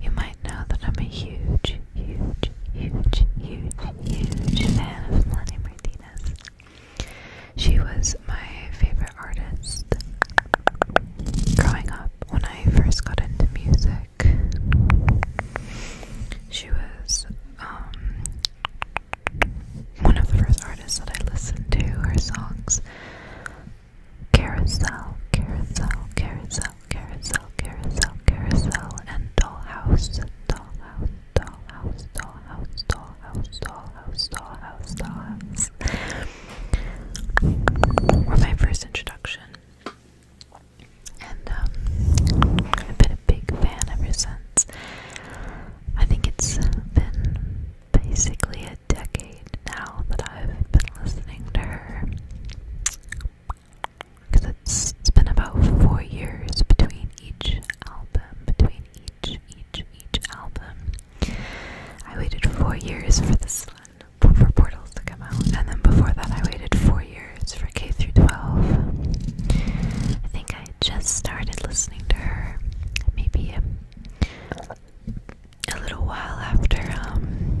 you might know that I'm a huge, huge, huge, huge, huge fan of Melanie Martinez. She was my favorite artist growing up when I first got into music. She was um, one of the first artists that I listened to. Her songs Carousel, Carousel, Carousel, carousel, carousel, carousel, and dollhouse, dollhouse, dollhouse, dollhouse, dollhouse, dollhouse, dollhouse, dollhouse. dollhouse. Were my first introduction, and um, I've been a big fan ever since. I think it's been basically a decade now that I've been listening to her because it's been about four years between each album, between each, each, each album. I waited four years for this one, for Portals to come out, and then before that, I waited four years for K through 12. I think I just started listening to her, maybe a, little while after um,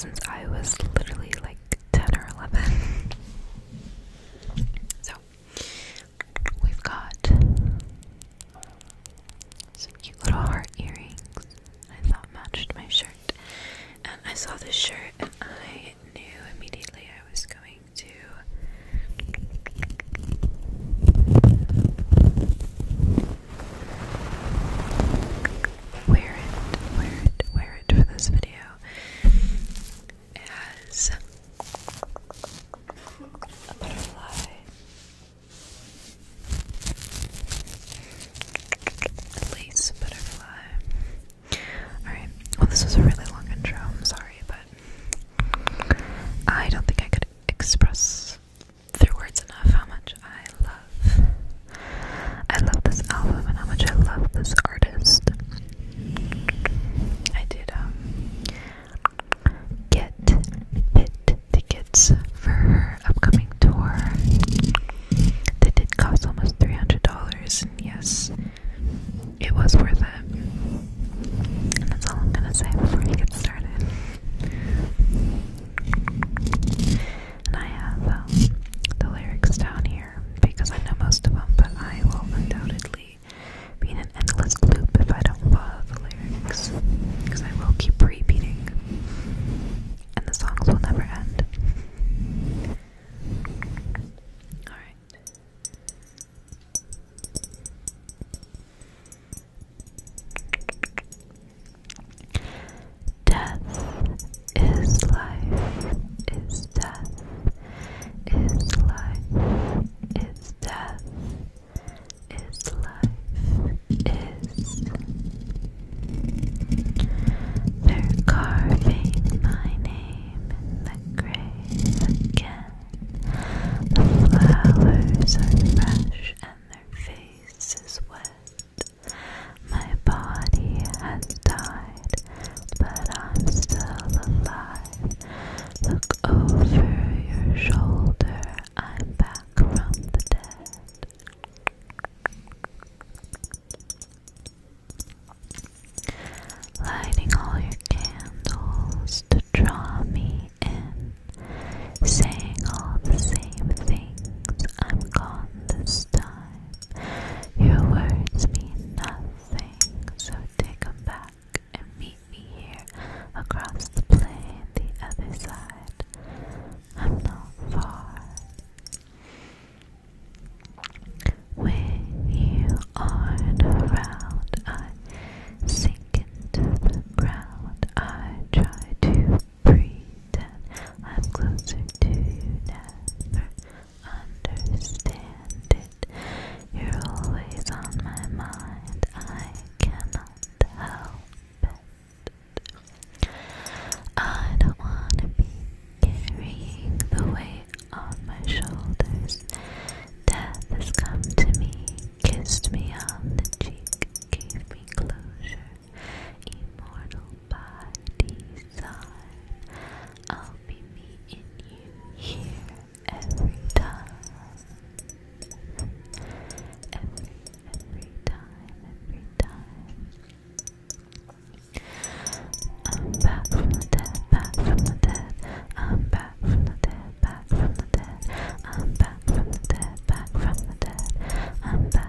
since I was literally like 10 or 11. So, we've got some cute little heart earrings I thought matched my shirt. And I saw this shirt and I knew immediately I was going to. Wear it, wear it, wear it for this video. It has a butterfly. At butterfly. Alright, well, this was a really long intro. I'm sorry, but I don't think I could express through words enough how much I love I love this album and how much I love this artist. I did um get pit tickets for her upcoming tour. They did cost almost three hundred dollars and yes it was worth it. And that's all I'm gonna say before we get started and I have um, the lyrics down here because I know most of them, but I will undoubtedly be in an endless loop if I don't follow the lyrics because I will keep repeating, and the songs will never end. Alright. Death is life, is death, is life, is death, is life, is. They're carving my name in the grave again. The flowers are fresh and their face wet. My body has died, but I'm still alive. Look over your shoulder, I'm back from the dead. Lighting all your candles to draw me in, saying all the same things. I'm gone this time. Your words mean nothing, so take them back and meet me here across the plain, the other side. I'm not far. When you aren't around, I sink into the ground. I try to breathe in. I'm closer to you, never understand it. You're always on my mind, I cannot help it. I don't want to be carrying the weight on my shoulders. Death has come to me, kissed me on the cheek, gave me closure immortal body, son. I'll be meeting you here every time. Every, every time, every time. I'm back from the dead, back from the dead. I'm back from the dead, back from the dead. I'm back from the dead, back from the dead. I'm back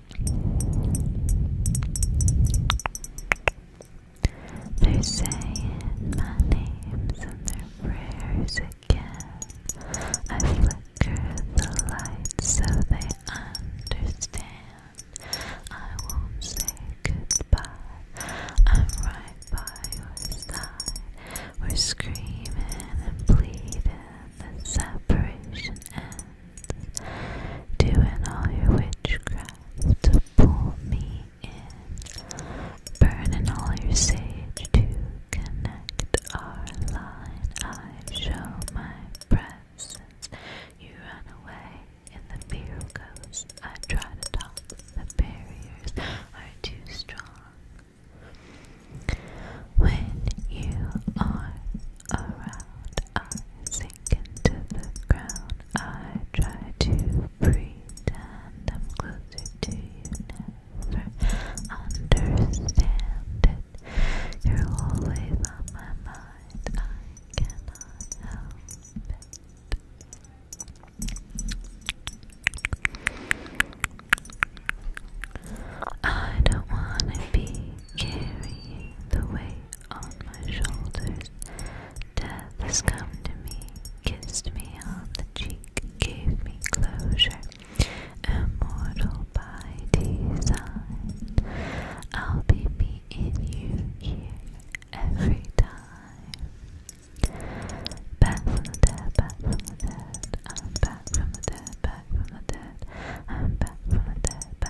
They're saying my names and their prayers again. I flicker the lights so they understand. I won't say goodbye. I'm right by your side. We're screaming and pleading that separation ends hands, doing all your witchcraft to pull me in, burning all your sage to connect our line. I show my presence, you run away, in the fear goes. I try to talk, the barriers are too strong. When you are around. I sink into the ground. I try to pretend I'm closer to you. Never understand it. You're always on my mind. I cannot help it. I don't want to be carrying the weight on my shoulders. Death has come to me, kissed me on the cheek, gave me closure. Immortal by design, I'll be me you here every time. Back from the dead, back from the dead, I'm back from the dead, back from the dead, I'm back from the dead,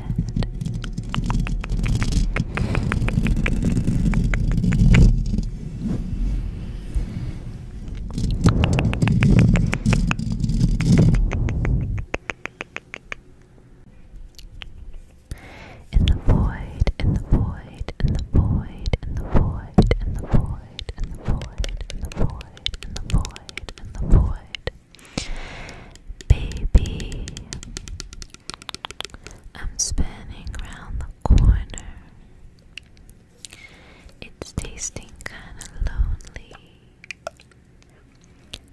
in the void, in the void, in the void, in the void, in the void, in the void, in the void, in the void, in the void. Baby, I'm spinning round the corner. It's tasting kinda lonely,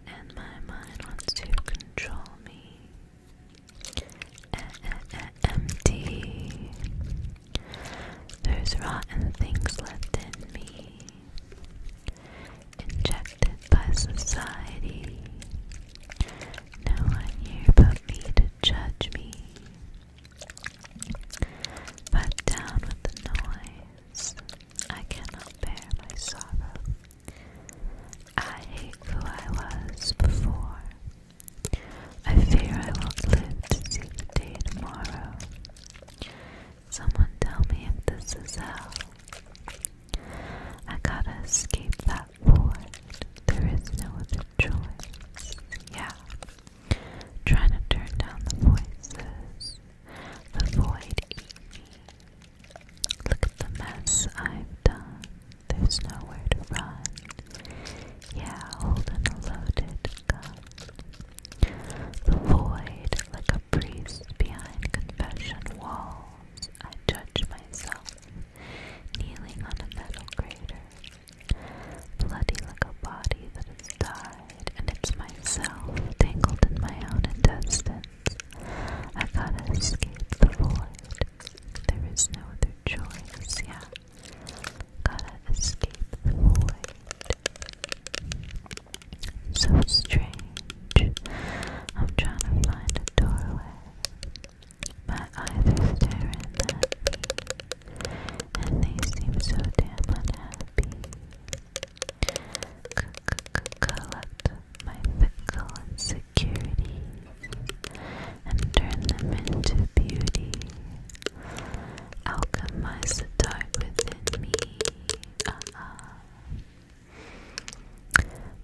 and my mind wants to control me. Uh, uh, uh, empty. There's rotten things left in me. Inject accepted by society. No one here but me to judge me. But down with the noise, I cannot bear my sorrow. I hate who I was before. I fear I won't live to see the day tomorrow. Someone tell me if this is hell. I gotta escape that forced. There is no other choice. Yeah. Try to turn down the voices. The void Look at the mess I've done. There's nowhere to run. Yeah, holding a loaded gun. The void, like a priest behind confession walls. I judge myself kneeling on a metal crater. Bloody like a body that has died, and it's myself tangled in my own intestines. I gotta escape the void. There is no other choice, yeah. Gotta escape the void. So strange. I'm trying to find a doorway. My eyes are staring at me, and they seem so damn unhappy. C Collect my fickle insecurities and turn them into beauty. Alchemize the dark within me. Uh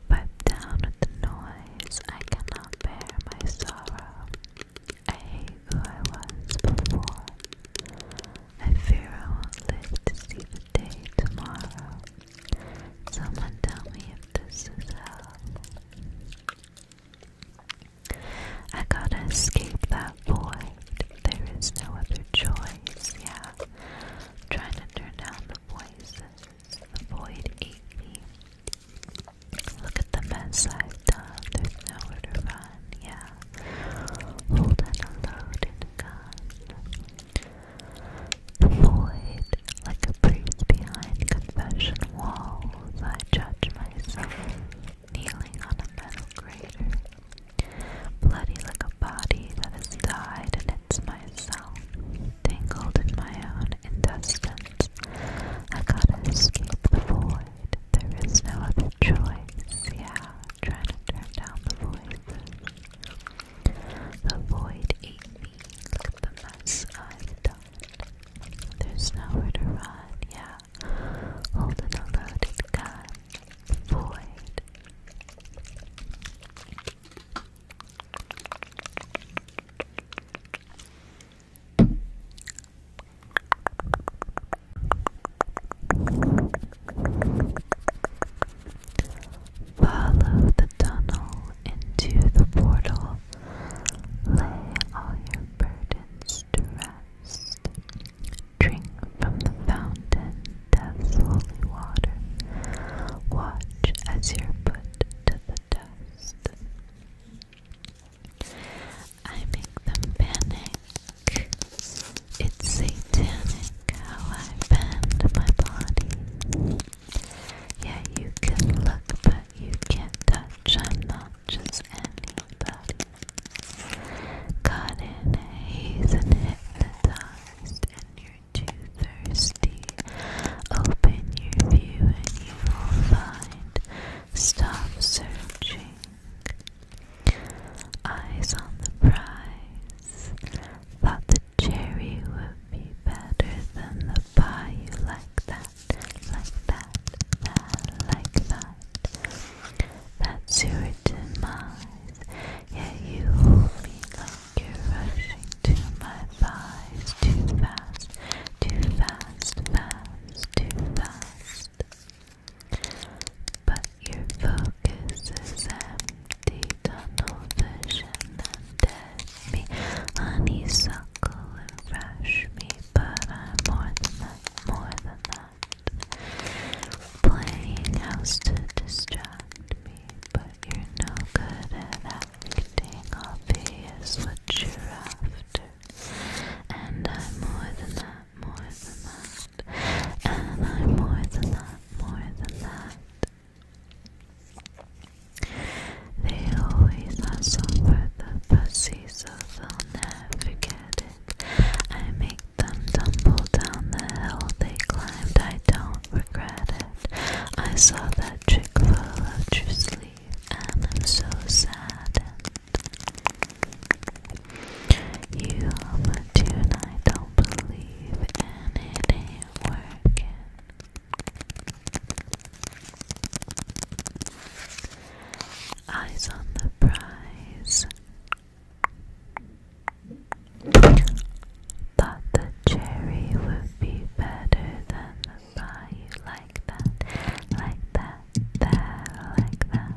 Pipe down with the noise, I cannot bear my sorrow. I hate who I was before. I fear I won't live to see the day tomorrow. Someone tell me if this is hell. I gotta escape that void. There is no other choice, yeah. trying to turn down the voices. Void ate me. Look at the mess I've done. There's nowhere to run. Yeah. Hold on a loaded gun. Void, like a priest behind confession walls, I judge myself, kneeling on a metal crater. Bloody like a body that has died, and it's myself tangled in my own intestines. I gotta escape the void. There is no other choice. Yeah, trying to turn down the voices. The void ate me. the mess I've done. There's nowhere to run. Yeah, holding a loaded gun. Void. Follow the tunnel into the portal. Lay all your burdens to rest. Drink from the fountain, death's holy water. Watch as you're put to the I make them panic. It's satanic how I bend my body. Yeah, you can look, but you can't touch. I'm not just anybody. Caught in haze and hypnotized, and your too thirsty. Open your view and you will find. Stop searching. Eyes on the prize. Thought the cherry would be better than the pie. You like that, like that, that, like that. That's your demise. Yeah, you hold me like you're rushing to my thighs too fast, too fast, fast, too fast. But your focus is empty, tunnel vision, and dead me, honeysuckle and rush me. But I'm more than that, more than that. Playing house to distract me, but you're no good at acting, obvious what you're after. And I'm more than that, more than that. And I'm more than that, more than that. They always hustle for the pussy, so they'll never get it. I make them tumble down the hill they climbed. I don't will I saw that trick full of your sleeve, and I'm so sad. You but tonight don't believe, and it ain't working. Eyes on the prize. Thought the cherry would be better than like that, like that, that, like that.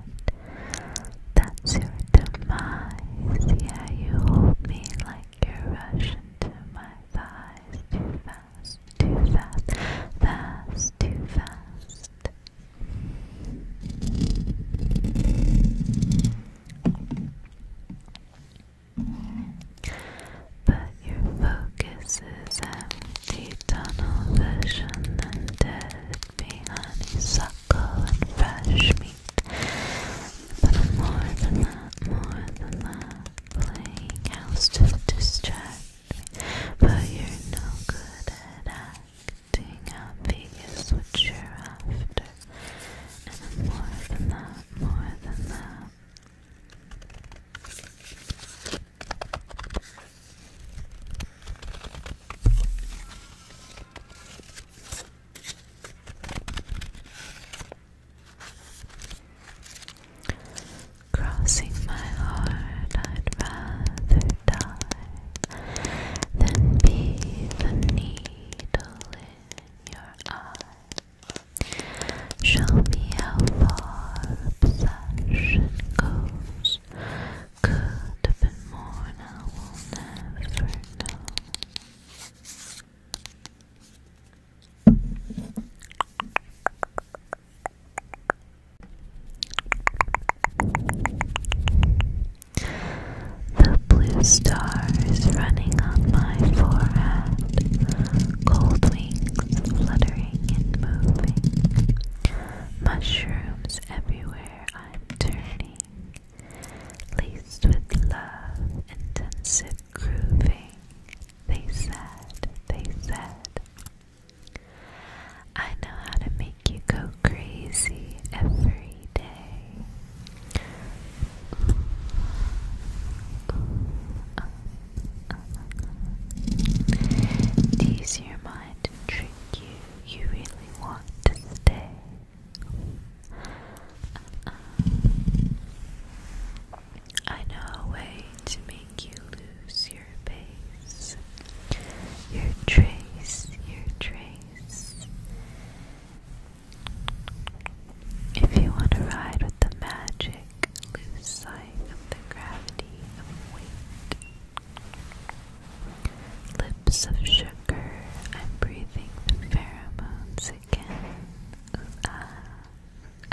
That's your demise. Yeah, you hold me like you're rushing to my thighs. Too fast, too fast, fast, too fast. But your focus is empty tunnel vision and dead behind me honeysuckle and fresh meat. But more than that, more than that, playing house to distract me. But you're no good at acting out Vegas, what you're after. And more than that, more than that. Crossing my heart, I'd rather die than be the needle in your eye. Show me how far obsession goes. Could have been more, and I will never know. The blue stars running on my forehead. Cold fluttering and moving. Mushrooms everywhere I'm turning, laced with love, intensive grooving. They said, they said, I know how to make you go crazy every day. Uh, Tease your mind trick you. You really want to stay. Uh-uh. I know a way to make you lose your base. Your trace, your trace. If you want to ride with the magic, lose sight of the gravity of weight. Lips of sugar, I'm breathing the pheromones again. Ah,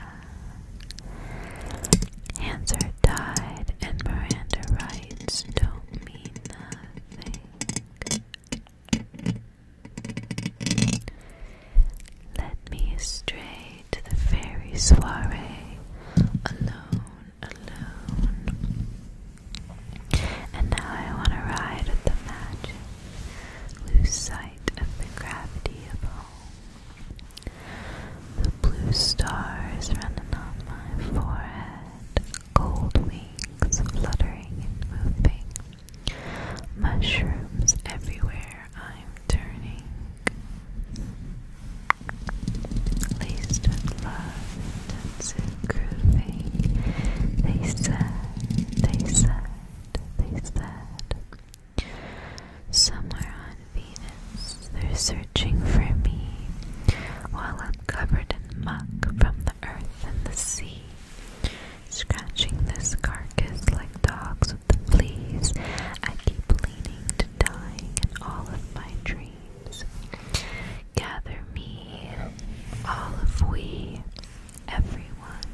ah. Hands are tied, and Miranda rights don't mean nothing. Let me astray to the fairy soiree, alone, alone. And now I want to ride with the magic, lose sight of the gravity of home. The blue stars running on my forehead, gold wings fluttering and moving, mushrooms everywhere I'm turning, laced with love, intensive grooving. They said, they said, they said, somewhere on Venus they're searching for me while I'm covered in muck from the earth and the sea. Scratching this carcass like dogs the fleas. I keep leaning to dying in all of my dreams. Gather me, all of we, everyone.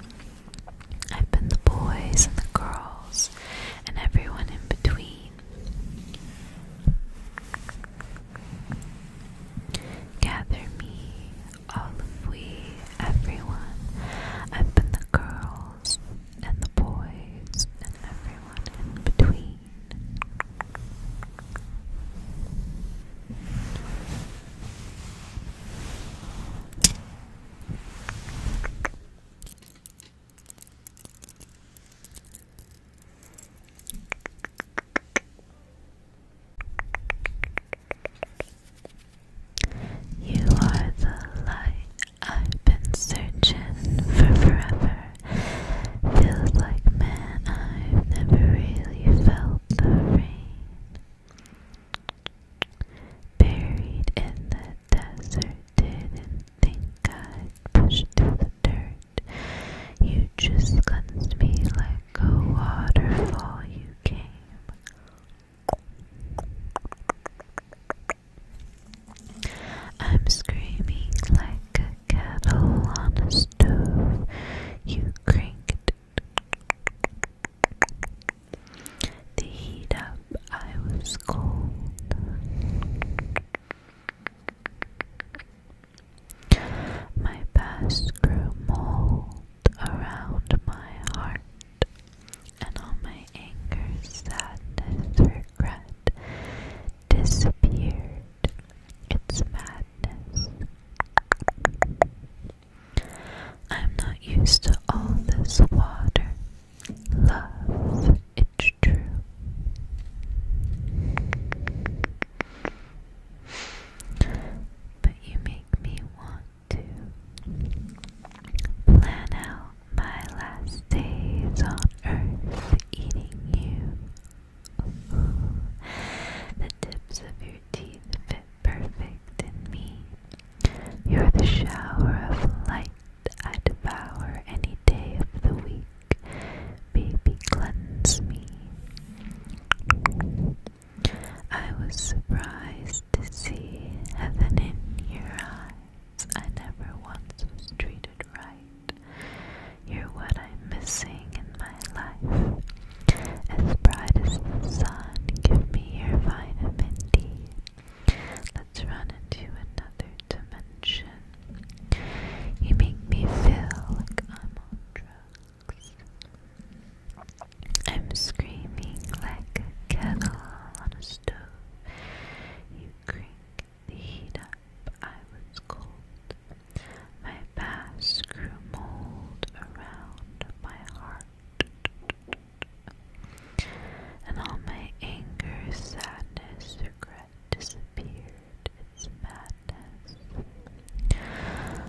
I've been the boys and the girls, and everyone in between. Gather me, all of we, everyone. I've been the girl, and the boys and everyone in between. You are the light I've been searching for forever. Feels like, man, I've never really felt the rain. Buried in the desert, didn't think I'd push through the dirt. You just cleansed me like a waterfall. You came. I'm screaming like a kettle on a stove. You cranked the heat up. I was cold. My past grew mold around my heart and all my anger, sadness, regret disappeared. It's madness. I'm not used to all this water. Love, it's true. But you make me want to plan out my last days on earth eating you. the tips of your teeth fit perfect in me. You're the shower of light I devour any day of the week. Baby, cleanse me. I was surprised to see heaven in your eyes. I never once was treated right. You're what I'm missing in my life. As bright as the sun, give me your vitamin D. Let's run into another dimension. You make me feel like I'm on drugs. I'm screaming like a kettle on a you cranked the heat up, I was cold. My past grew mold around my heart. And all my anger, sadness, regret disappeared. It's madness.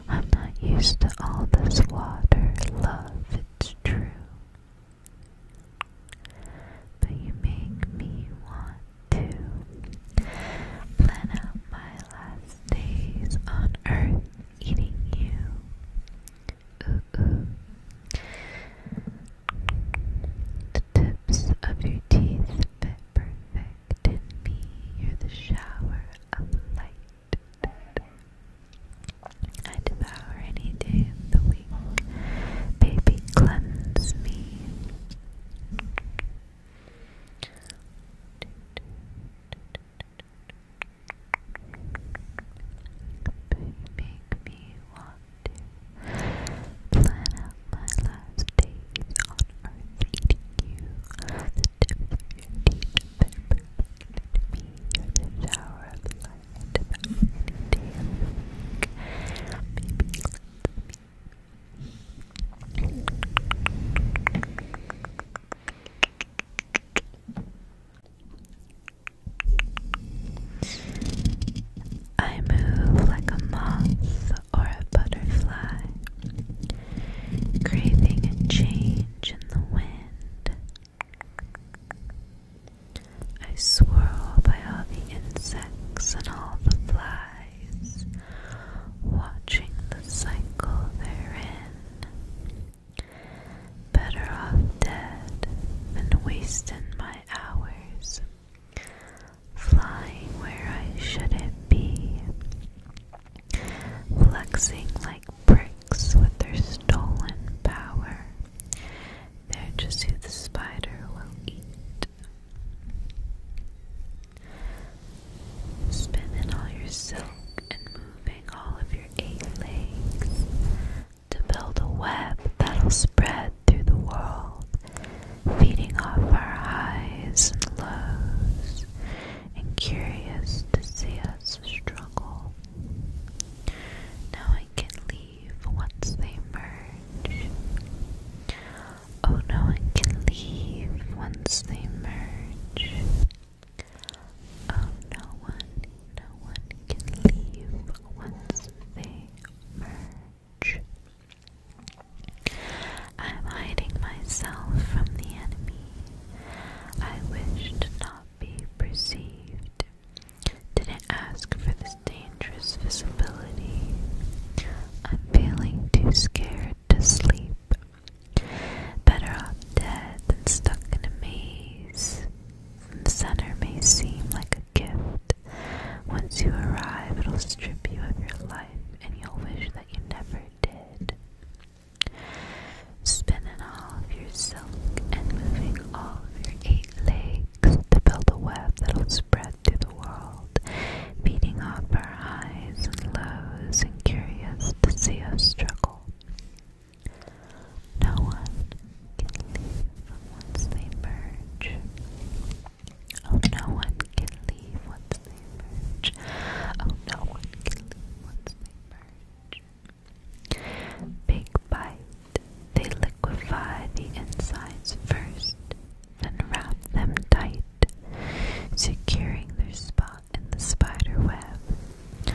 I'm not used to all this water, love, it's true. But you make me want to plan out my last days on earth eating you. The tips of your teeth fit perfect in me. You're the shower of light. I devour any day of the week. Baby, cleanse me. Make me want to plan out my last days on earth, you. The tips of your teeth, me, you the shower of light about anything. I move like a moth or a butterfly, craving a change in the wind. I swirl by all the insects and all the flies, watching the cycle they're in. Better off dead than wasting my hours, flying where I shouldn't be, flexing like bricks with their stolen power. They're just who the spider will eat. Spinning all your silk and moving all of your eight legs to build a web that'll spread through the world, feeding off our highs and lows, and curious to see us struggle. Now I I can leave once they merge. Oh, no one can leave once they merge. Oh, no one, no one can leave once they merge. I'm hiding myself from the enemy. I wish to not be perceived didn't ask for this dangerous visibility. I'm feeling too scared to sleep. Better off dead than stuck in a maze. The center may seem like a gift. Once you arrive, it'll strip you of your life and you'll wish that you never did. Spinning all of your silk and moving all of your eight legs to build a web that'll spread through the world, feeding off our highs and lows and curious to see us struggle. No one can leave once they merge. Oh, no one can leave once they merge. Oh, no one can leave once they merge. Big bites they liquefy the insides first, then wrap them tight, securing their spot in the spider web.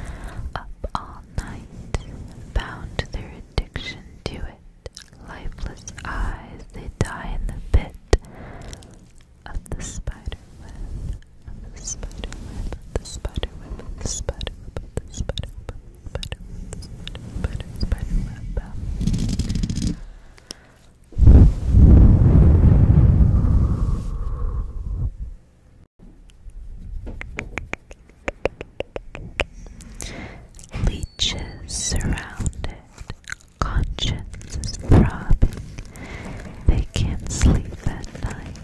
Up all night, bound to their addiction to it, lifeless eyes, they die in the pit of the spider web, of the spider web. Butter, butter, butter, surrounded, conscience is They can't sleep at night,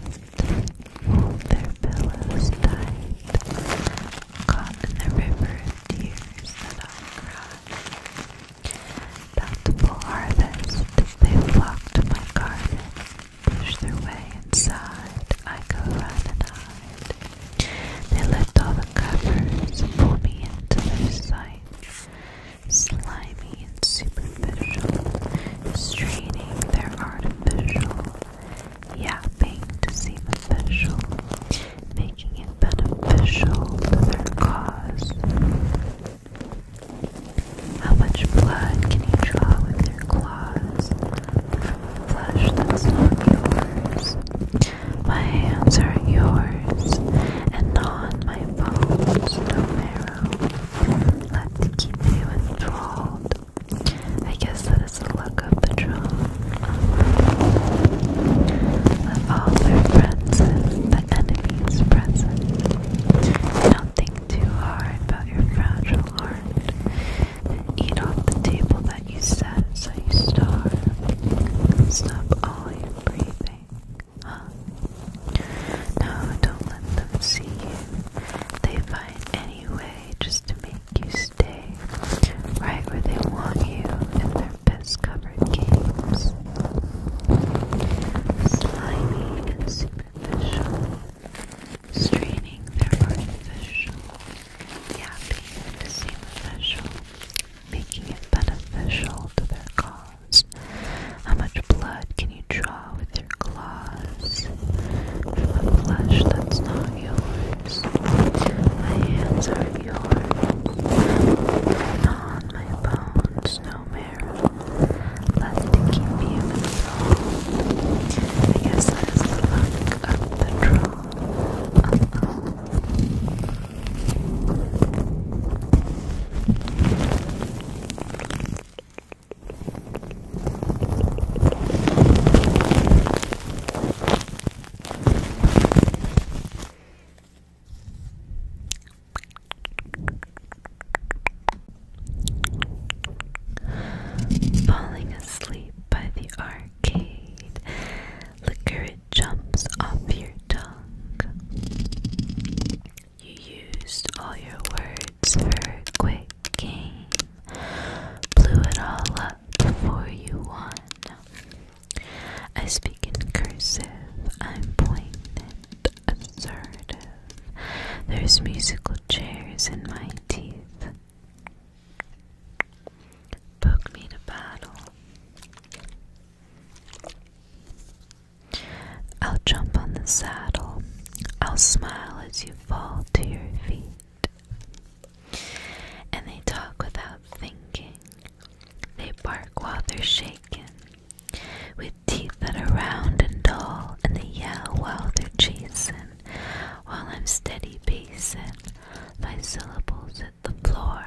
hold their pillows tight. Caught in the river of tears that I cried. Bountiful harvest, they flock to my garden, push their way inside, I go run and hide. They lift all the covers, pull me into their sight. Slimy and superficial, straining their artificial yapping to seem official, making it beneficial to their cause. How much blood can you draw with your claws flesh that's not yours? My hands are yours, and on my bones no marrow. Let the keep you enthralled I guess that is the luck of the draw. Let all their friends and the enemies present. Don't think too hard about your fragile heart. eat off the table that you set so you starve. Stop all your breathing. Huh? No, don't let them see you. They find any just to make you stay right where they want you in their piss covered games. Slimy and superficial, straining their artificial, yapping to seem making it beneficial to their cause. How much blood can you draw with your claws from flesh that's not yours. My hands are yours. On my bones, no marrow left to keep you in I guess that is the luck of the troll. Falling asleep by the arcade, liquor it jumps off your tongue. You used all your words for quick game, blew it all up before you won. I speak in cursive, I'm poignant, assertive. There's musical chairs in my teeth. Poke me to battle. I'll jump on the saddle. I'll smile as you fall to your feet. And they talk without thinking. They bark while they're shaken, with teeth that are round and dull, and they yell while they're chasing, while I'm steady pacing, my syllables at the floor.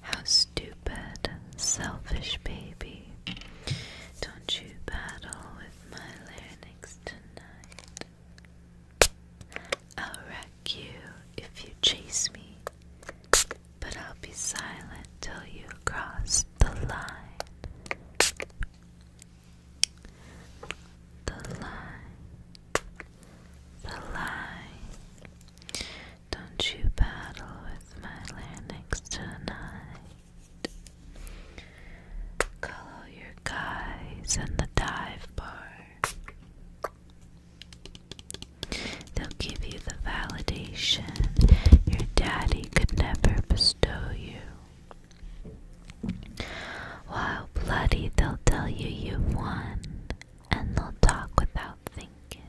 How stupid, selfish baby. Don't you battle with my larynx tonight. I'll wreck you if you chase me, but I'll be silent till you cross the line. The line the light. Don't you battle with my larynx tonight. Color your guys in the dive bar. They'll give you the validation your daddy could never bestow you. While bloody, they'll tell you you've won and they'll talk without thinking.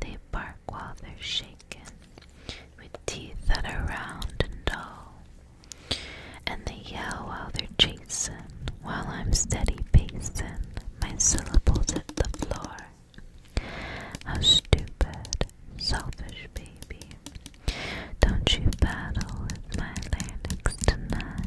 They bark while they're shaking, with teeth that are round and dull. And they yell while they're chasing, while I'm steady pacing my syllables at the floor. How stupid, selfish baby. Don't you battle with my larynx tonight?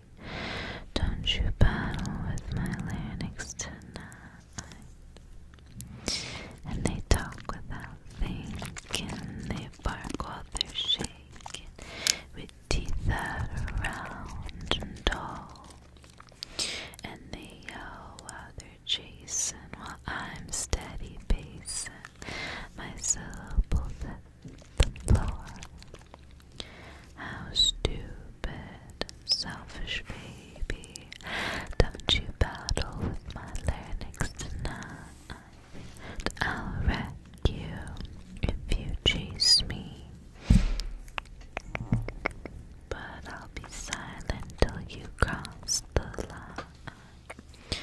Don't you battle with my larynx tonight. And they talk without thinking, they bark while they're shaking, with teeth that are round and dull. And they yell while they're chasing, while I'm steady pacing my syllables how stupid, selfish baby, don't you battle with my larynx tonight. I'll wreck you if you chase me. But I'll be silent till you cross the line.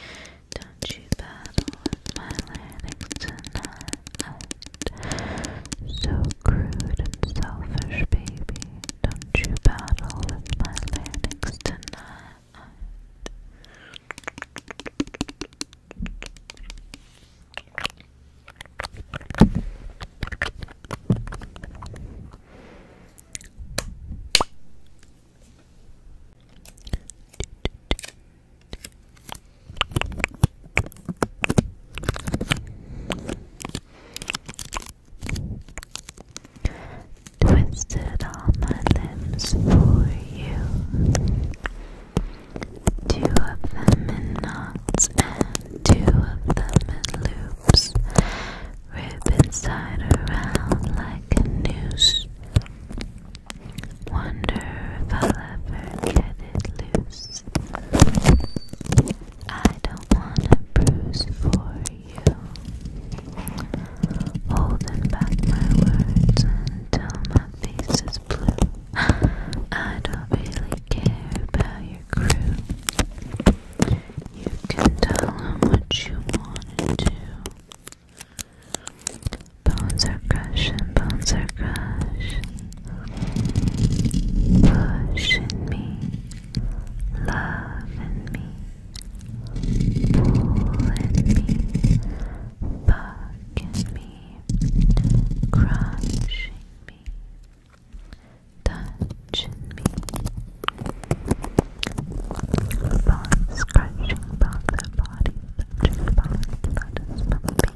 Don't you battle with my larynx tonight. So crude and selfish, baby. Don't you battle with my larynx tonight. Twisted all my limbs for you. Two of them in knots and two of them in loops. Ribbon side around like a noose. Wonder if I'll ever get it loose. I don't wanna bruise for you. Holding back my words until my face is blue. I don't really care about your crew. You can tell them what you wanna Bones are crushing, bones are crushing. Push me, love me, pull me, buck me, crushing me, touch me, bones crushing bones, body, touching bones, blood is pumping,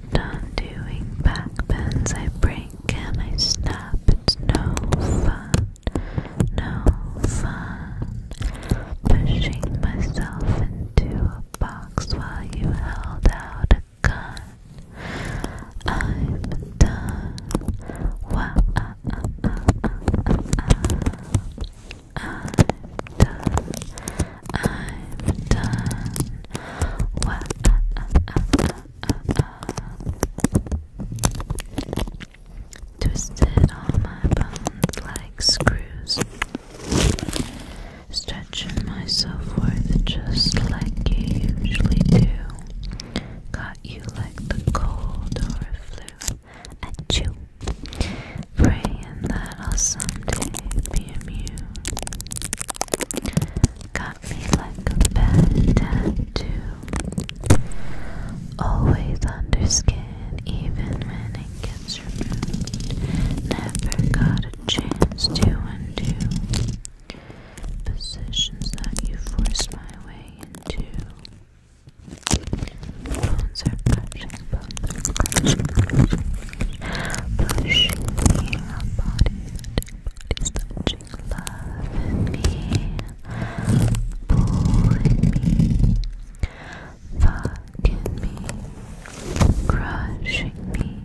Undoing back bends, I break and I snap. It's no fun, no fun. Pushing myself into a box while you held out a gun. I'm done. I'm done. I'm done. Twisted all my bones like screws. Stretching myself worth just like you usually do. Got you like the cold or flu at you. Praying that I'll someday be immune got me like a bad tattoo. Always under skin, even when it gets removed. Never got a chance to undo positions that you forced my way into. Bones are crushing, bones are crushing, Everybody's touching love in me, pulling me, fucking me, crushing me,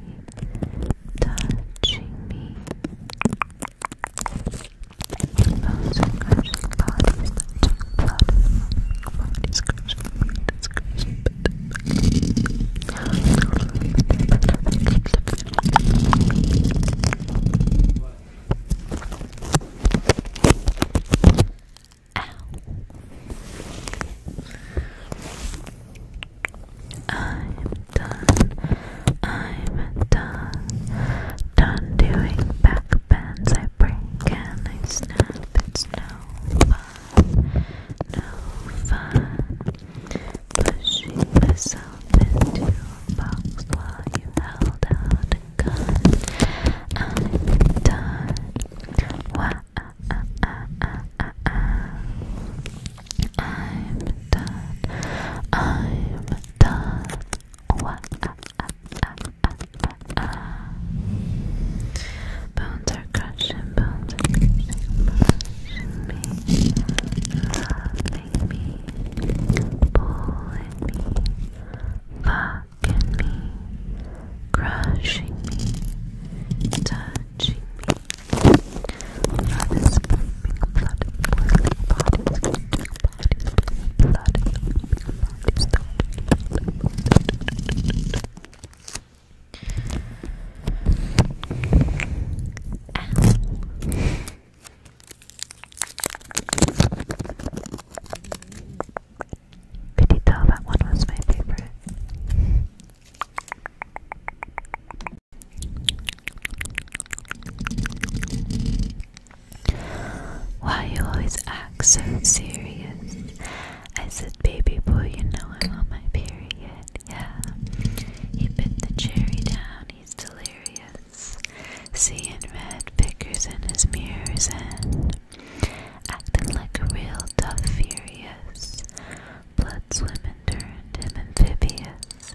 touching me. Those are crushing bodies, touching blood, bodies crushing, bodies crushing, I'm done. I'm done. Done doing back bends. I break and I snap. It's no fun. No fun pushing myself into a box while you held out a gun. I'm done. Ah, ah, ah, I'm done. I'm done. Bones are expression building, brushing me, loving me, pulling me, fucking me, crushing me, touching me. Blood is pumping, blood is boiling, blood is getting, blood is blood is pumping, blood is pumping, could you tell that one was my favorite? Why you always act so serious? I said, baby boy, you know I'm on my period yeah. He bit the cherry down, he's delirious. Seeing red pickers in his mirrors and acting like a real tough furious. Blood swimming turned him amphibious.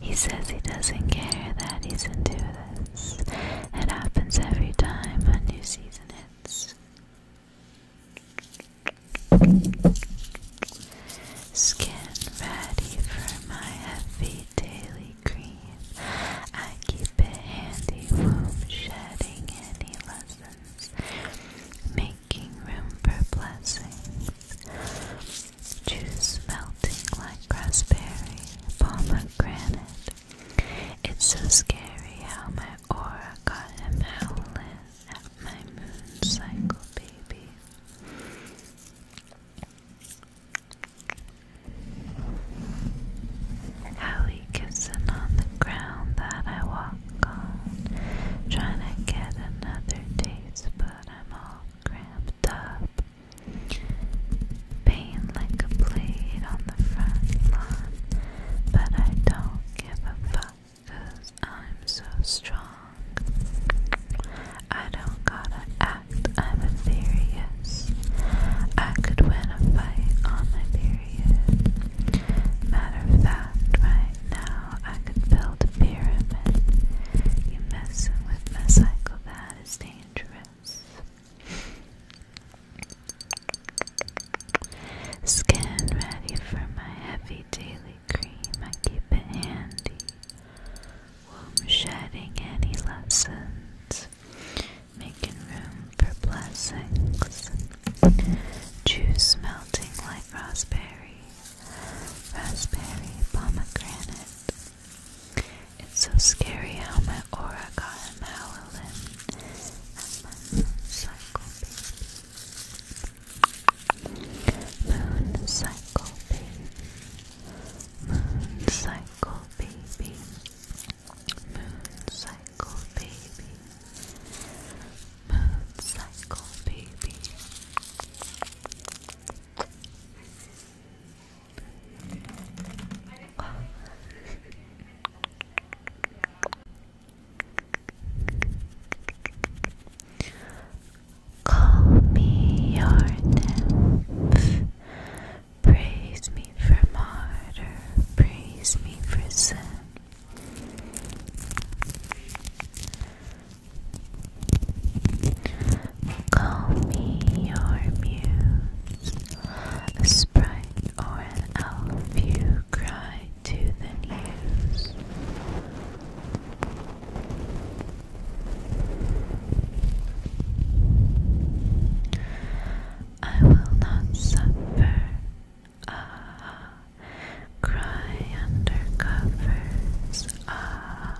He says he doesn't care that he's into this. It happens every time a new season hits. Skin ready for my heavy daily cream. I keep it handy, womb shedding any lessons, making room for blessings. Juice melting like raspberry, pomegranate. It's so scary how my aura got him howling at my moon cycle, baby. Hallie kissing on the ground that I walk on, trying to get another taste, but I'm all cramped up. Pain like a blade on the front lawn, but I don't give a fuck. Cause I'm so strong. I don't gotta act, I'm ethereous. I could win a fight on my period. Matter of fact, right now I could build a You messing with my cycle, that is dangerous. Skin ready for my heavy daily cream, I keep it handy. Womb shedding any lessons, making room for blessings. Juice melting like raspberry, raspberry pomegranate. It's so scary how my aura got him howling, and cycle Moon cycle baby. Moon cycle baby. Moon cycle baby. Moon cycle baby. Call me your nymph. Praise me for martyr. Praise me for sin. Call me your muse. A sprite or an elf, you cry to the news. I will not suffer. Ah, cry under covers. Ah,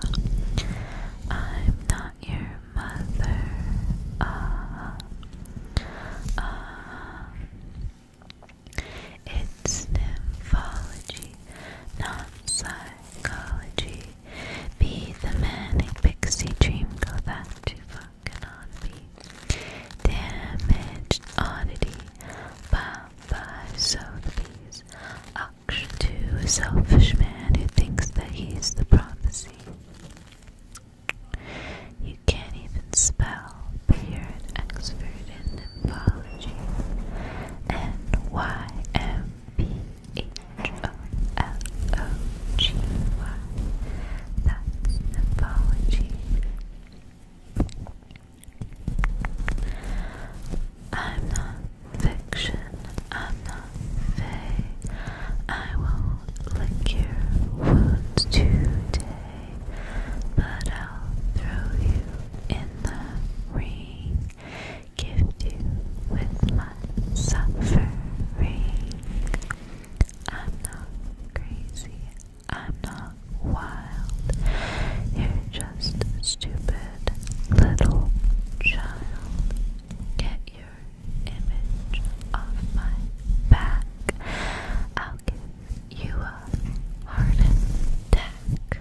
I'm not your mother. Ah, ah. It's nymphology not psychology. Be the man in pixie dream, go back to fucking on be. Damaged oddity, bye bye, so the bees. Auction to a selfish man who thinks that he's the prophecy. You can't even spell, but you're an expert in Symphology N-Y-M-P-H-O-L-O-G-Y That's Symphology I'm not fiction, I'm not fey. I won't lick your wounds today, but I'll throw you in the ring gift you with my suffering. I'm not crazy, I'm not wild. You're just stupid little child. Get your image off my back. I'll give you a heart attack.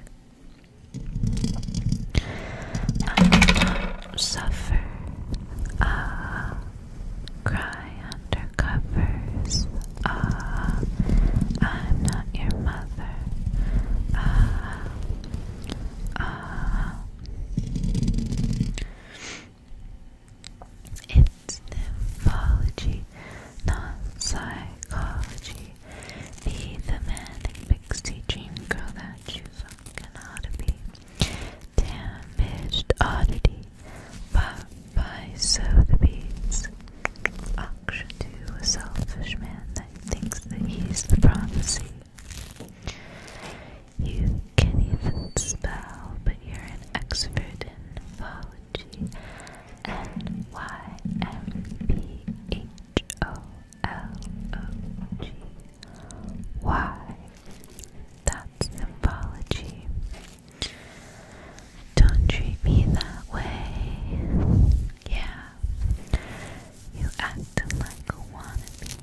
I suffer ah cry under covers ah I'm not your mother ah ah it's nymphology, not psychology the thematic pixie dream girl that you fucking ought to be. Damaged oddity, bought by soda beads. Auction to a selfish man that thinks that he's the prophecy. You can not even spell, but you're an expert in phology. N Y M P H O L-O-G-Y. That's symbology. Don't treat me that way. Yeah. You acting like a wannabe.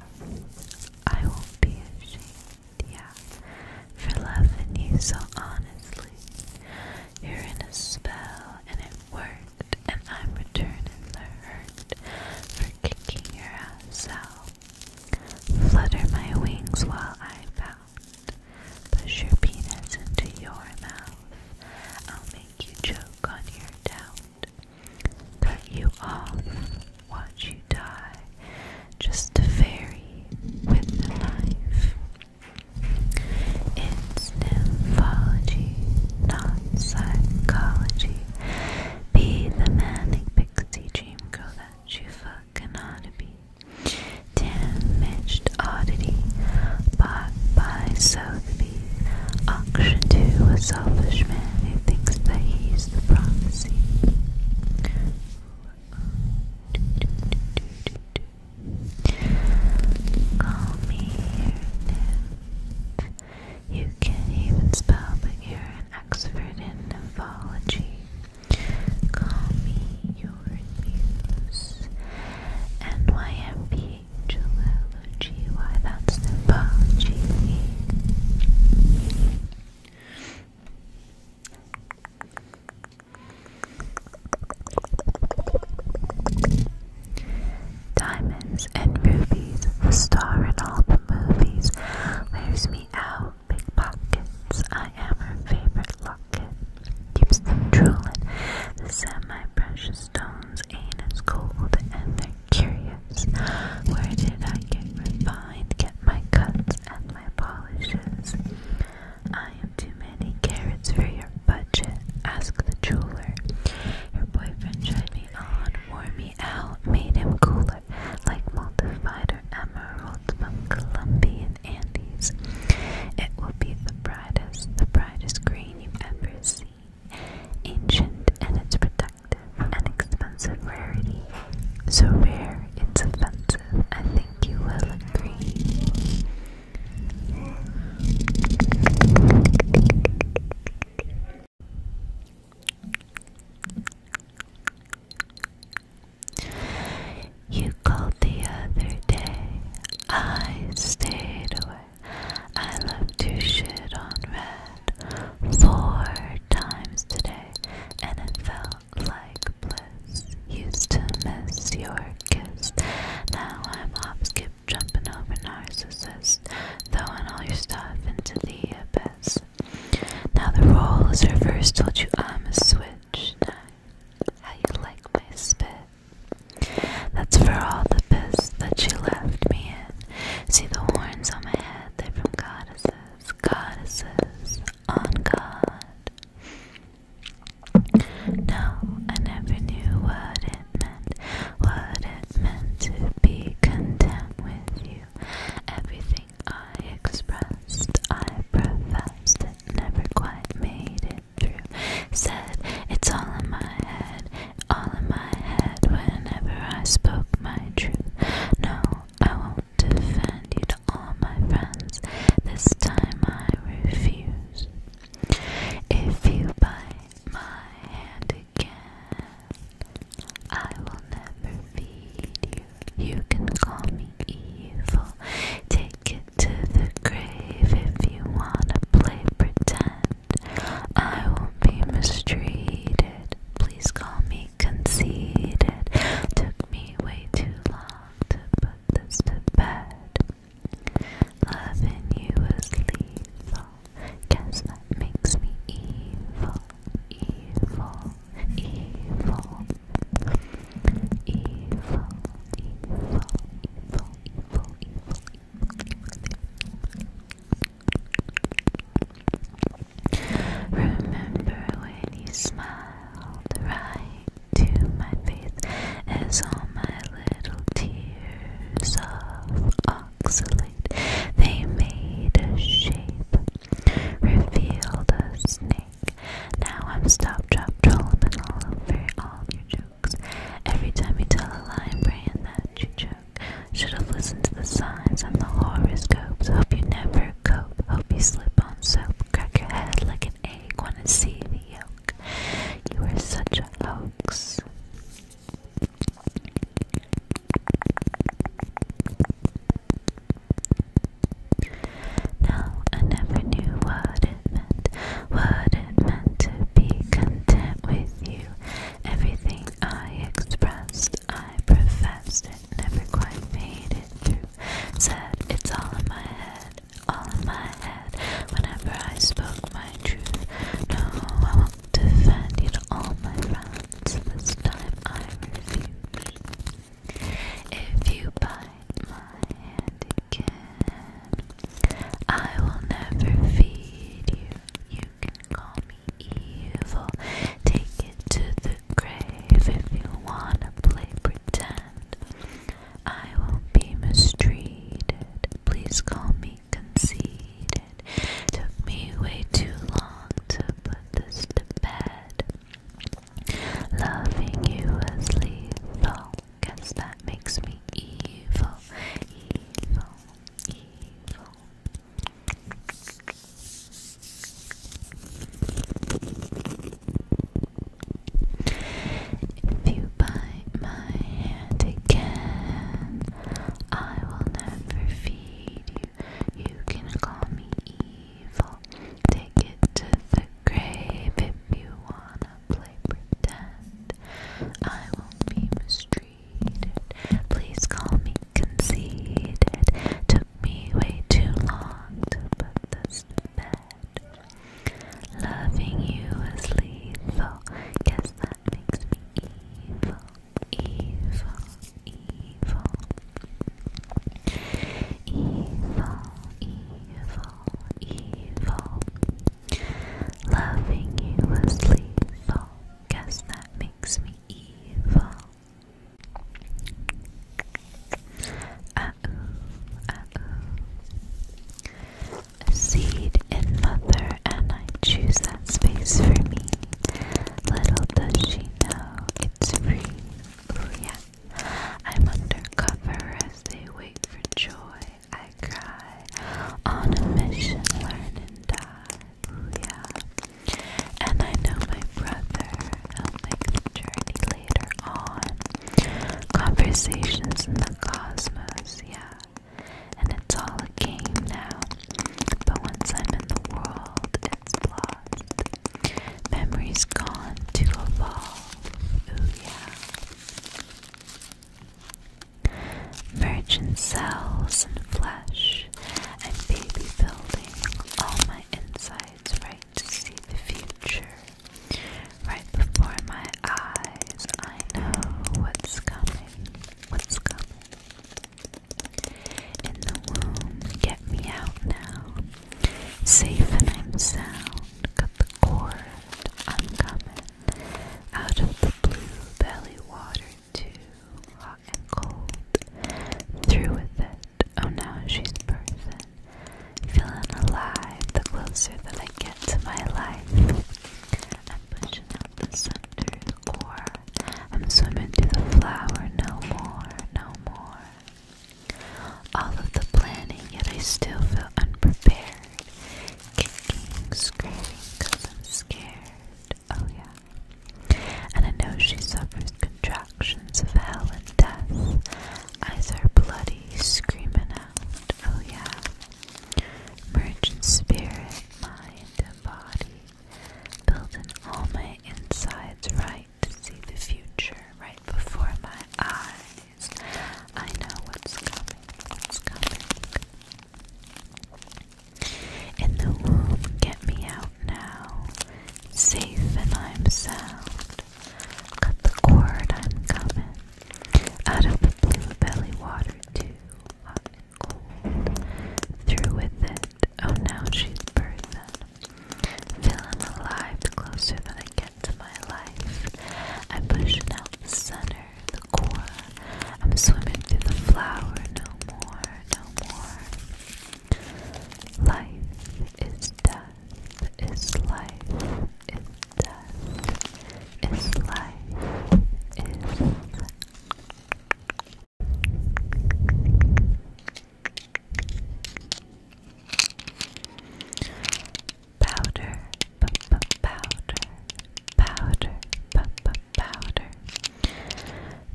I won't be ashamed, yeah. For loving you so honestly. You're in a spell and it works and I'm returning the hurt for kicking your ass out. Flutter my wings while I pout. Push your penis into your mouth. I'll make you choke on your doubt. Cut you off, watch you die. Just a fairy with a knife. It it's nymphology, not psychology. Be the manic pixie dream girl that you fucking ought to be. Damaged oddity, bought by Sotheby. Auction to a selfish man who thinks that he's the prophecy. Call me your you can't even spell, but you're an expert in nymphology. Call me your muse. NYMP Why, that's nymphology. Diamonds and rubies, the star in all the movies, wears me out. Big pockets, I am her favorite locket. Keeps them drooling, the semi-precious stones ain't as gold, and they're curious. Where did I get refined, get my cuts and my polishes? I am too many carrots for your budget, ask the jeweler. Her boyfriend tried me on, wore me out, made him cooler, like multified emeralds from Colombian Andes. It will be the brightest, the brightest green you ever see. Ancient and its protective, an expensive rarity. So rare, it's offensive. I think you will agree. You called the other day. I stayed away. I left your shit on red four times today, and it felt like bliss. Used to miss your kiss. Now I'm off jumping over narcissists, throwing all your stuff into the abyss. Now the role is reversed, told you I'm a switch. Now, how you like my spit? That's for all the piss that you left me in. See the horns on my head, they're from goddesses, goddesses on God. No, I never knew what what it meant to be content with you. Everything I expressed, I professed, never quite made it through. Said, it's all in my head, all in my head, whenever I spoke my truth. No, I won't defend you to all my friends. This time I refuse. If you buy my handy I will never feed you. You can call me evil. Take it to the grave if you wanna play pretend. I won't be mistreated. Please call me conceited. Took me way too long to put this to bed. Loving you is lethal. Guess that makes me evil, evil, evil. Evil, evil, evil, evil, evil, evil. Remember when you smiled right to my face as all my little tears of oxalate, they made a shape, revealed a snake. Now I'm stop, drop, trolling all over all your jokes. Every time you tell a lie, I'm praying that you choke. Should have listened to the signs and the horoscopes. Hope you never cope. Hope you slip on soap. Crack your head like an egg. Wanna see the yolk? You are such a hoax. Now I never knew what it meant, what it meant to be content with you. Everything I expressed, I professed it, never quite made it through. Said it's all in my head, all in my head. Whenever I spoke my truth, no, defended all my friends, this time I refuse. If you bite my hand again, I will never feed you. You can call me evil, take it to the grave if you wanna play pretend. I won't be mistreated. Please call me conceded. Took me way too long to put this to bed. Loving you as lethal. Guess that makes me evil, evil, evil. If you buy my again. I will never feed you. You can call me evil. Take it to the grave if you wanna play pretend. I won't be mistreated. Please call me conceited. Took me way too long to put this bed. Loving you is lethal. Guess that makes me evil evil, evil, evil, evil, evil. Loving you was lethal. Guess that makes me evil. Ah ooh, seed in mother and I choose that space for me. Little does she know it's free. Oh yeah. I'm undercover as they wait for joy. I cry on a mission, learn and die. Oh yeah. And I know my brother. He'll make the journey later on. Conversations in the cosmos. Yeah and it's all a game now. But once I'm in the world, it's lost. Memories gone to evolve. Ooh yeah. Merge in cells and flesh. I'm baby building all my insides right to see the future. Right before my eyes, I know what's coming. What's coming? In the womb, get me out now. Safe and I'm sound. Cut the cord, I'm coming. Out of the blue belly water, too. Hot and cold. Through with it. Oh, now she's perfect. Feeling alive the closer that I get to my life. I'm pushing out the sun core. I'm swimming through the flower, no more, no more. All of the planning, yet I still feel unprepared. Kicking, screaming, i I'm scared. Oh yeah. And I know she suffers contractions of hell and death. Eyes are bloody, screaming out. Oh yeah. Merge in spirit, mind, and body. Building all my insides right to see the future right before my eyes. I know what's coming, what's coming. In the womb, get me out now, safe and I'm sound. Cut the cord, I'm coming, out of the blue belly water too hot and cold. Through with it. Oh, now she's burden. Feel I'm alive closer than I get to my life. I push it out the center, the core. I'm swimming through the flower, no more, no more. Life is death, is life, is death, is life, is Powder, p -p powder, powder, p -p powder.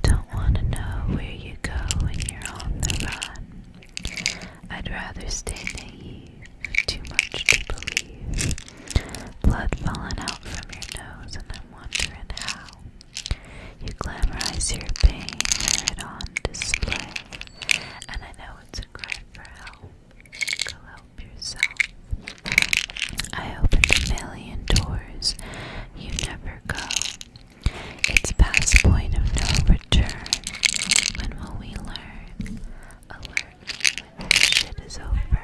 Don't want to know where you go when you're on the run. I'd rather stay naive, too much to believe. Blood falling out from your nose and I'm wondering how you glamorize your pain, wear it on display. And I know it's a cry for help. Go help yourself. I open a million doors. You never go. It's past point of no return. When will we learn? Alert shit is over.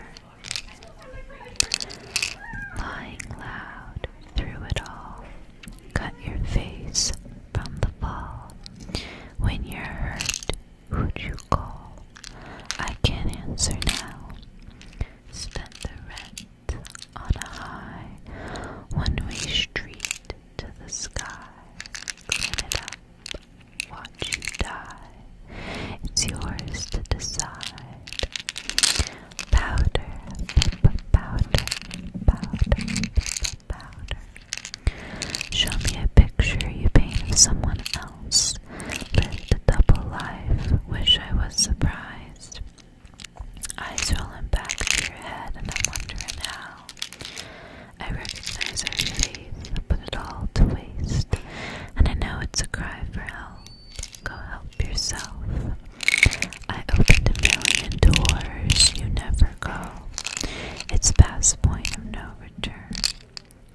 Lying loud through it all, cut your face from the fall. When you're hurt, who'd you call? I can't answer now. Spent the rent on a high one-way street to the sky. Clean it up, watch you die. It's yours to decide. Powder, pip, powder, powder, powder. Show me a picture you paint of someone else. Lived a double life. Wish I was surprised. Eyes rolling back to your head, and I'm wondering how. I recognize our faith, put it all to waste, and I know it's a cry for help. Go help yourself. I opened a million doors, you never go. It's past point of no return.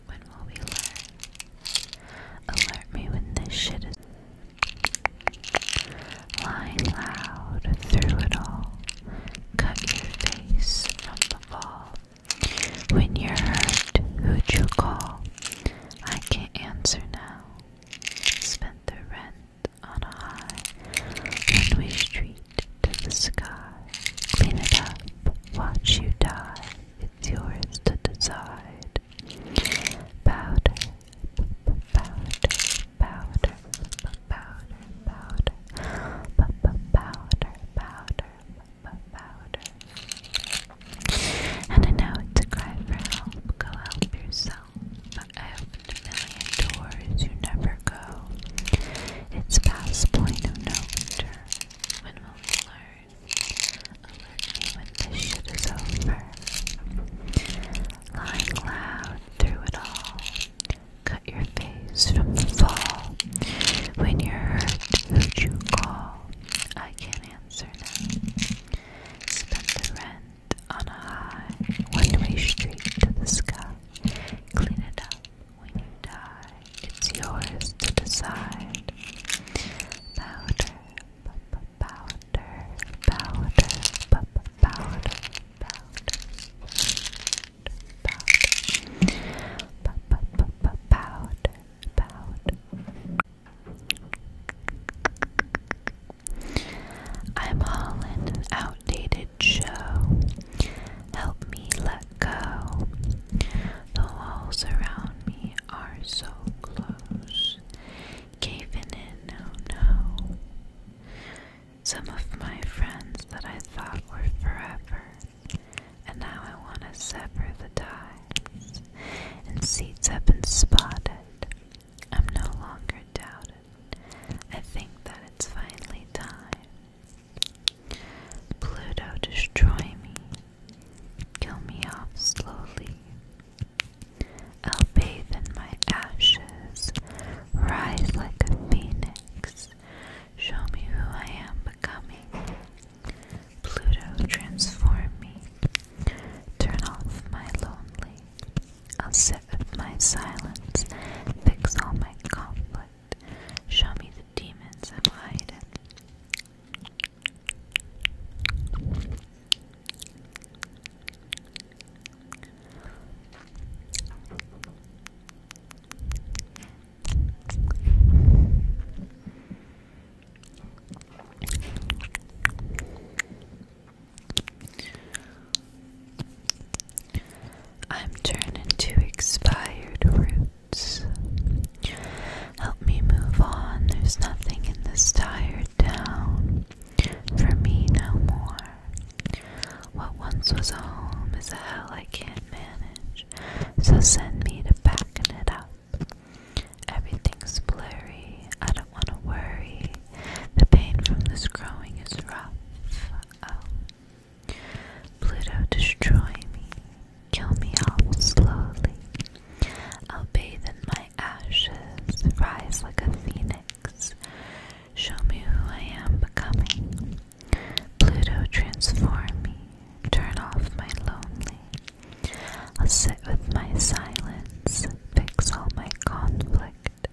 When will we learn? Alert me when this shit is lying loud through it all. Cut your face from the fall. When you're hurt, who'd you call? I can't answer now. Spend the rent on a high one-way street to the sky. Clean it up, watch you die. It's yours to decide. Powder, powder, powder, powder, powder, powder, powder, powder, powder. And I know it's cry for help. Go help yourself. But I opened a million doors you never go. It's past point of no return. When will we learn? Alert when this shit is over. Lying loud through it all. Cut your face from the fall. When you're hurt, who'd you call? I can't answer now. Spent the rent on a high one-way street to the sky. Clean it up when you die. It's yours to decide. Powder, powder, powder, powder, powder, powder, powder, powder, powder. I'm all an outdated show. Help me let go. The walls around me are so close. Caving in, oh Some of my friends that I thought were forever, and now I want to sever the ties. And seats have been spotted. I'm no longer doubted. I think that it's finally time. Pluto, destroy me. Kill me off slowly. I'll bathe in my ashes, rise like a phoenix. Show me who I am becoming. Pluto, transform me. Turn off my lonely. I'll sit with my silence, fix all my conflict. Show me the demons I'm hiding. I'm turning to expired roots. Help me move on, there's nothing in this tired town for me no more. What once was a home is a hell I can't manage, so send me to pack it up. Everything's blurry, I don't want to worry. The pain from this growing is rough. Um, Pluto, destroy me, kill me all slowly. I'll bathe in my ashes, rise like a phoenix. Show me who I am becoming. Pluto, transform me, turn off my lonely. I'll sit with my silence, fix all my conflict,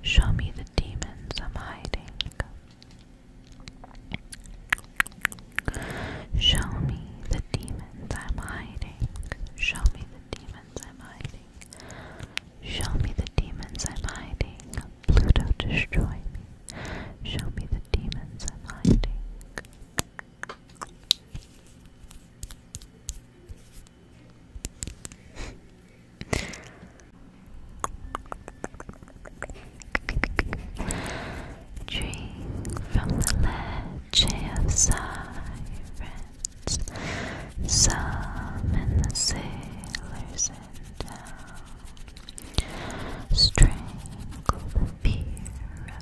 show me the demons I'm hiding. Show me the demons I'm hiding. Show me the demons I'm hiding. Show me the demons I'm hiding. Pluto, destroy me. Show me the demons I'm hiding. Dream from the ledge of sirens, summon the sailors in town, strangle the fear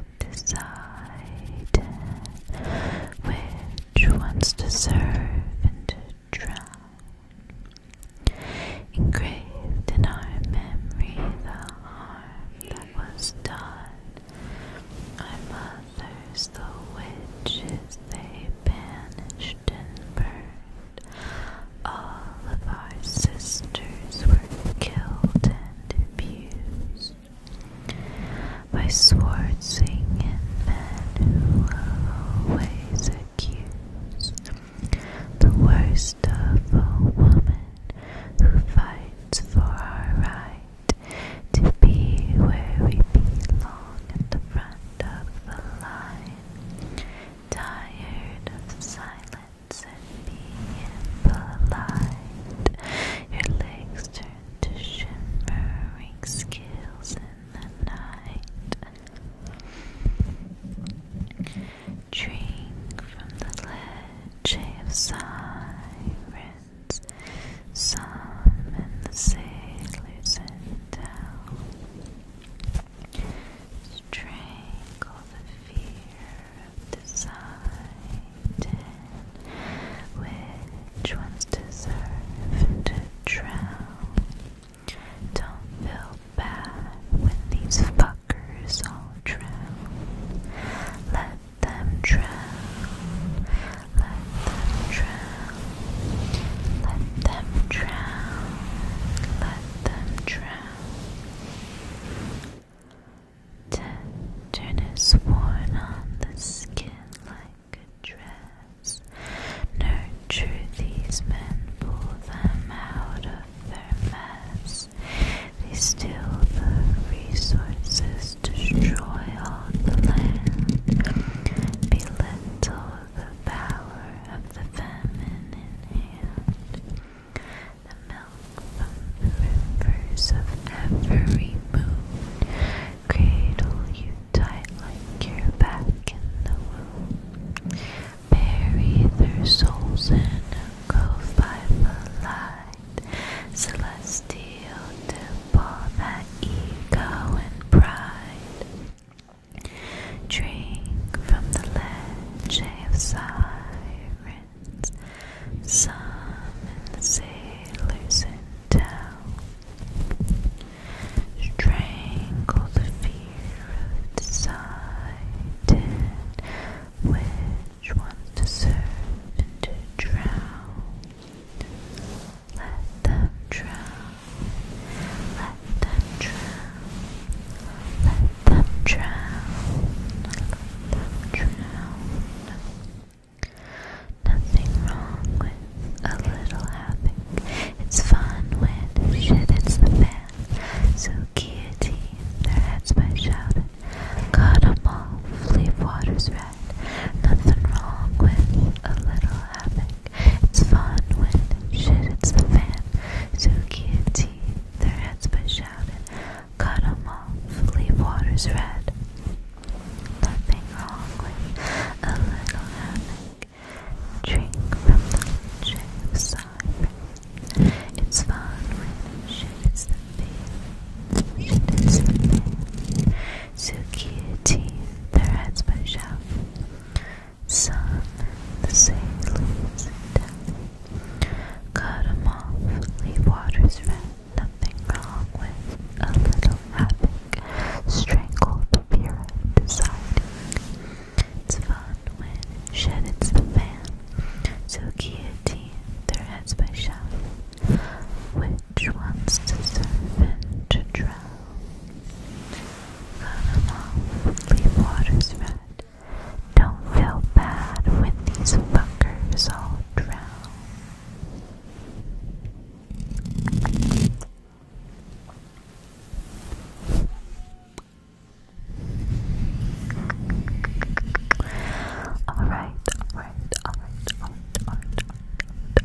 have decided which ones to serve and to drown. Engraved in our memory the harm that was done, our mothers, the witches, they banished and burned. All of our sisters were killed and abused by sword singing men who always accuse the worst of a woman who fights for our right to be where we belong at the front of the line. Tired of silence and being polite, your legs turn turn to shimmering scales in the night. Drink from the ledge of sirens, some the sailors and down. Strangle the fear of desire. Which ones deserve to drown? Don't feel bad when these fuckers all drown. Let them drown. Let them drown. Let them drown. Let them drown. Turn is worn on the skin like a dress. Nurture these men, pull them out of their mess. They steal the resources, destroy all the land, belittle the power of the feminine hand. The milk from the rivers of every moon Cradle you tight like you're back in the womb. Bury their souls in a grove by the light. Celestial to temple that ego and pride. Drink from the ledge of sirens. Some in the down. Strangle the fear of deciding which ones to serve and to drown. Let them drown. Let them drown. Let them drown. Let them drown. Nothing wrong with a little havoc. It's fun when shit hits the fan. So guillotine, their heads by shouting. Cut 'em all. leave waters red. Nothing wrong with a little havoc. It's fun when shit hits the fan. So guillotine, their heads by shouting. Cut 'em off, leave waters red. Nothing wrong with a little havoc. Drink from the check side. It's fun when shit the feeling. Shit is the feeling. Tsukiyuti, their heads push out. Sun, the sailors in town. Cut 'em off, leave waters red nothing wrong with a little rapid, strangled the of deciding. It's fun when shit hits the fan, so guillotine their heads by shove. Which wants deserve and to drown? Cut them off, waters red. Don't feel bad when these fuckers all drown. Alright, alright, alright, alright, alright,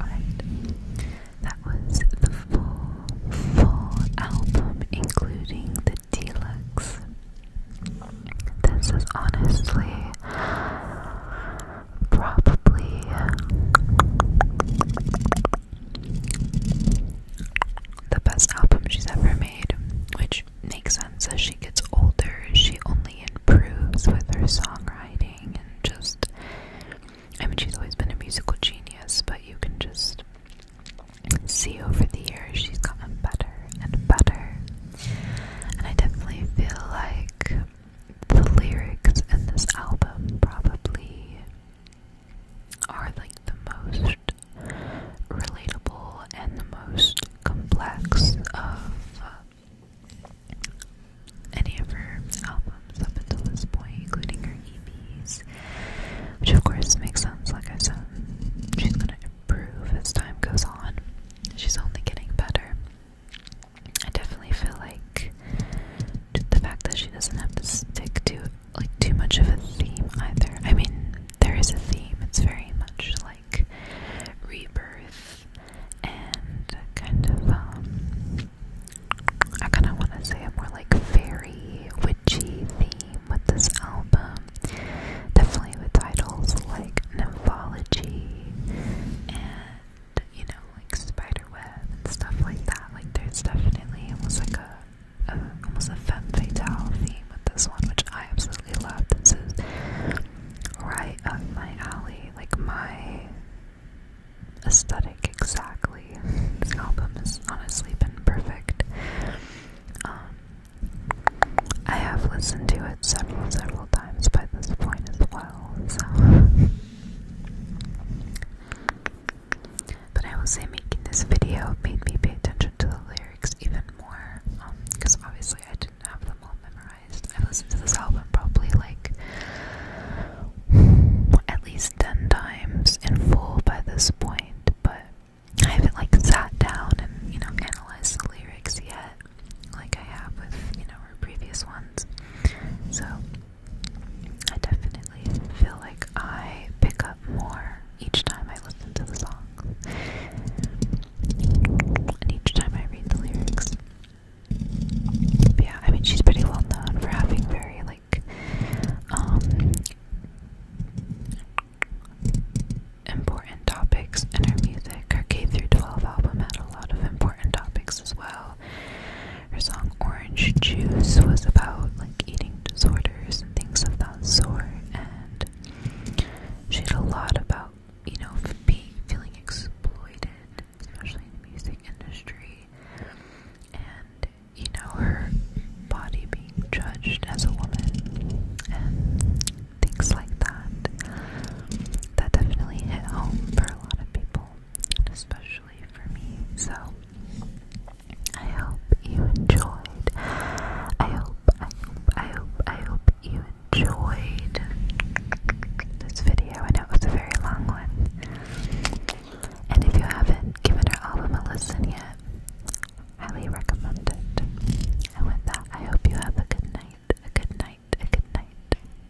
alright, That was the full, full album, including the deluxe. This is honestly probably the best album she's ever made, which makes sense as she gets older. She only improves with her songwriting and just. I mean, she's always been a musical genius, but you can just see over the years she's gotten better and better. And I definitely feel like the lyrics in this album probably are like the most relatable and the most complex of uh, any of her albums up until this point, including her EPs, which of course makes sense. Like I said, she's gonna improve as time goes on. She's only getting better. I definitely feel like the fact that she doesn't have to stick to like too much of a theme either. I mean, there is a theme. It's very much like rebirth and kind of um, I kind of want to say a more like fairy witchy theme with this album. Definitely with titles like Nymphology and you know, like spider web and stuff like that. Like there's definitely almost like a, a almost a femme fatale theme with this one, which I absolutely love. This is right up my alley, like my aesthetic exactly. This album has honestly been perfect. Um, I have listened to it several, several times by this point as well, so But I will say, making this video made me pay attention to the lyrics even more, because um, obviously I didn't have them all memorized. I've listened to this album probably like at least 10 times in full by this point, but I haven't like sat down and you know analyzed the lyrics yet like I have with, you know, her previous ones. So I definitely feel like I pick up more each time I listen to the songs. And each time I read the lyrics. yeah, I mean she's pretty well known for having very like um important topics in her music. Her K through 12 album had a lot of important topics as well. Her song Orange Juice was about like eating disorders and things of that sort, and she had a lot about you know being feeling exploited, especially in the music industry, and you know her body being judged as a woman and things like that. That definitely hit home for a lot of people especially for me. So I hope you enjoyed. I hope, I hope, I hope, I hope you enjoyed this video. I know it was a very long one. And if you haven't given our album a listen yet, highly recommend it. And with that, I hope you have a good night, a good night, a good night.